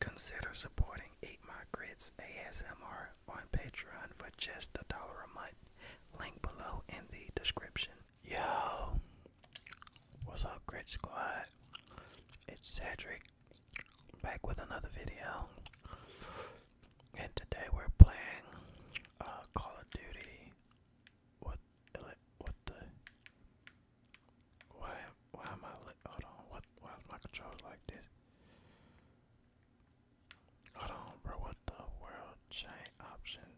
Consider supporting Eight My Grits ASMR on Patreon for just a dollar a month. Link below in the description. Yo, what's up, Grit Squad? It's Cedric back with another video and today we're playing uh, Call of Duty. What? What the? Why? Why am I? hold on. What? Why is my controller like this? Hold on, bro. What the world? Chain option.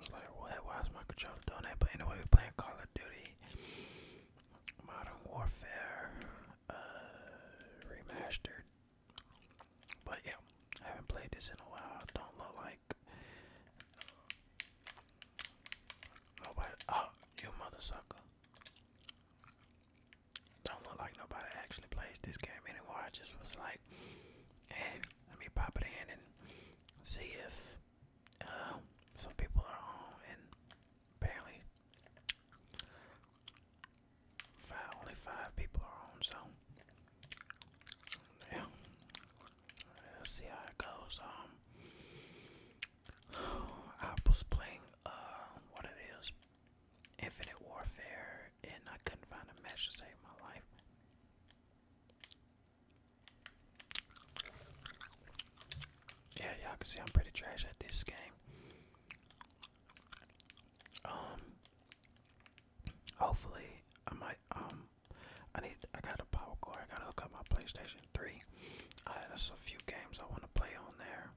It's like, what? Why is my controller doing that? But anyway, we're playing Call of Duty. Modern Warfare uh, Remastered. But yeah, I haven't played this in a while. Don't look like uh, nobody. Oh, you mother Don't look like nobody actually plays this game anymore. I just was like, eh, let me pop it in and see if uh, some people are home and apparently five only five people are home, so yeah. Let's see how it goes. Um, I was playing uh what it is, Infinite Warfare, and I couldn't find a match to save my life. Yeah, y'all can see I'm pretty trash at this game. Um, hopefully I might um I need I got a power cord. I gotta hook up my PlayStation 3. I uh, there's a few games I want to play on there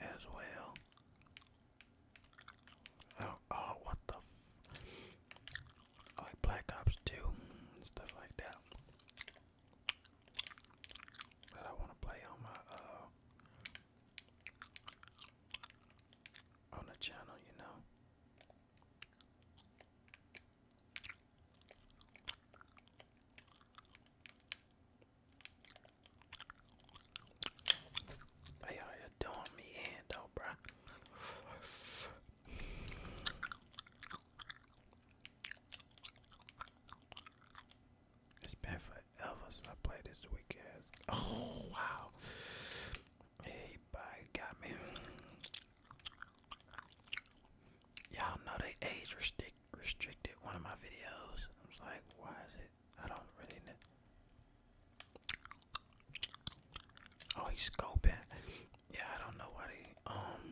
as well. Oh, oh what the like Black Ops 2 stuff like that. That I want to play on my uh, on the channel, you know. Hey, you you doing me in, though, bruh. It's been forever since I played this weekend. Oh wow. Hey bye got me. Y'all know they age restrict restricted one of my videos. I was like, why is it? I don't really know. Oh, he's scoping. Yeah, I don't know why he um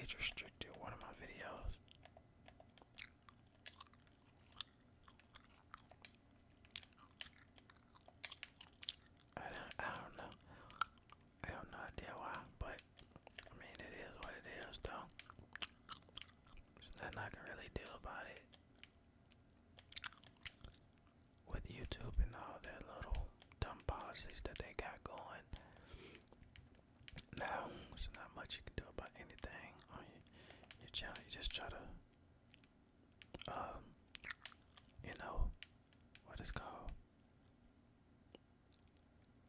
age restricted one of my videos. I don't, I don't know. I have no idea why, but I mean it is what it is though. There's nothing I can really do about it with YouTube and all their little dumb policies that they got going. Now, there's not much you can do about anything on your, channel. You just try to, um, you know, what called.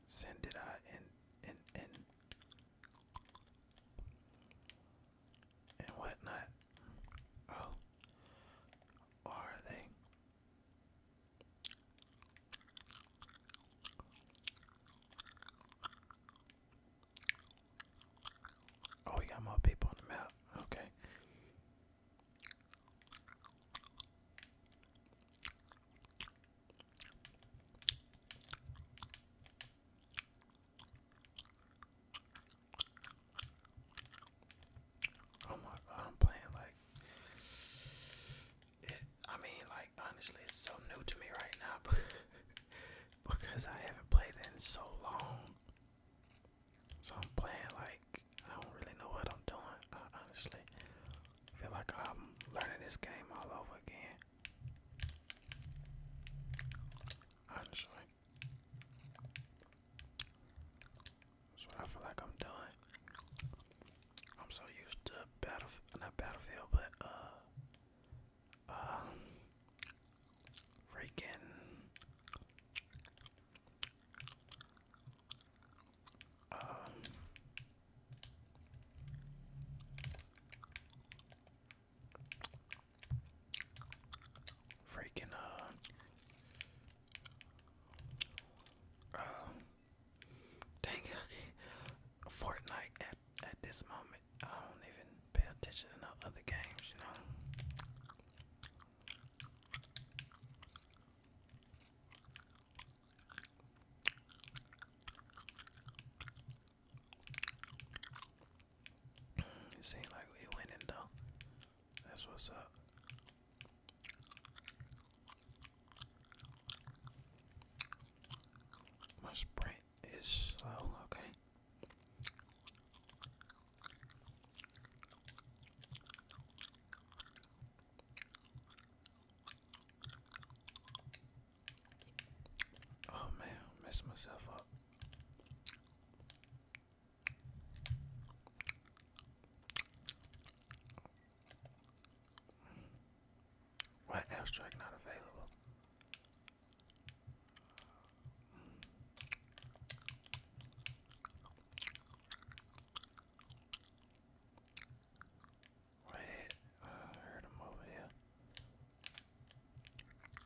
Send it out and and and and whatnot. Oh, are they? Oh, we got more people on the map. Okay. Oh my god, I'm playing like I mean, like honestly, it's so new to me right now because I haven't played it in so long. So I'm playing like I don't really know what I'm doing. I honestly feel like I'm learning this game all over again. Honestly. That's what I feel like I'm doing. I'm so used to battle, not battlefield, but uh, um, freaking um. Freaking uh, uh dang it, Fortnite at at this moment. I don't even pay attention to no other games, you know. It seemed like we winning though. That's what's up. My sprint is slow, okay. Oh man, messed myself up. Why abstract not available? Wait, I heard him over here.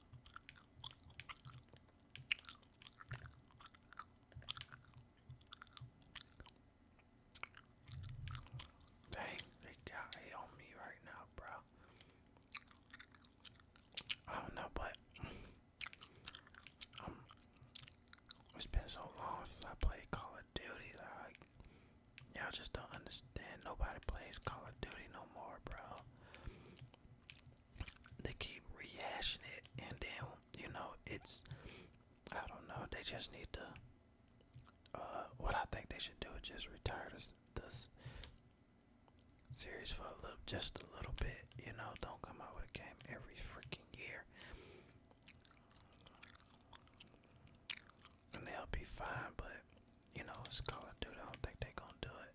Dang, they got it on me right now, bro. I don't know, but it's been so long since I played Call of Duty. Like, y'all just don't understand. Nobody plays Call of Duty no more, bro they keep rehashing it, and then you know it's I don't know. They just need to. Uh, what I think they should do is just retire this this series for a little, just a little bit. You know, don't come out with a game every freaking year, and they'll be fine. But you know, it's Call of Duty. I don't think they're gonna do it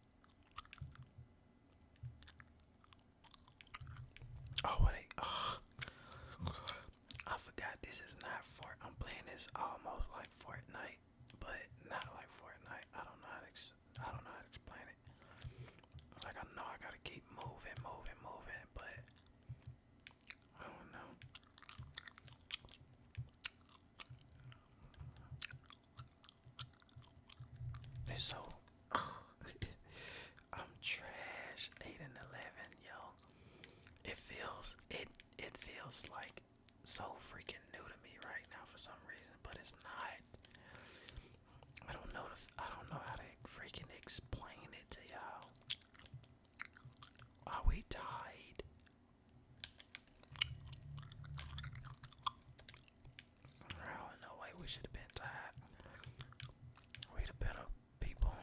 Oh, what I forgot this is not for. I'm playing this almost like Fortnite, but not like Fortnite. I don't know how to. I don't know how to explain it. Like I know I gotta keep moving, moving, moving, but I don't know so. I'm trash. Eight and eleven, yo. It feels it. It feels like so freaking new to me right now for some reason, but it's not. I don't know. The, I don't know how to freaking explain it to y'all. Are we tied? Oh, no way, we should have been tied. We'd have better people.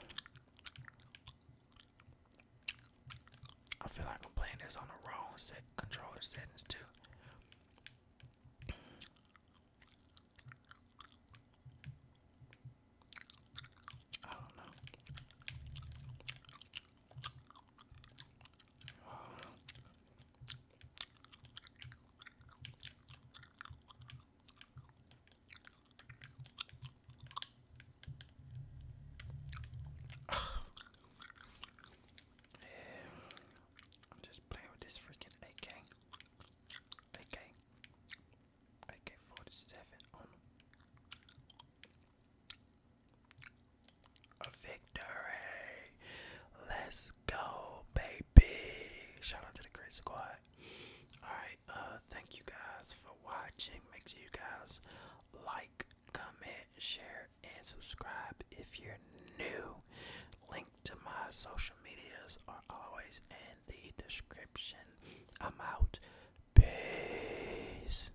I feel like I'm playing this on the wrong controller settings too. I don't know. I'm just playing with this freaking AK. AK. AK 47 a victory. Let's go, baby. Shout out to the great squad. Alright, uh, thank you guys for watching. Make sure you guys like, comment, share, and subscribe if you're new. Link to my social medias are always in the description. I'm out. Peace.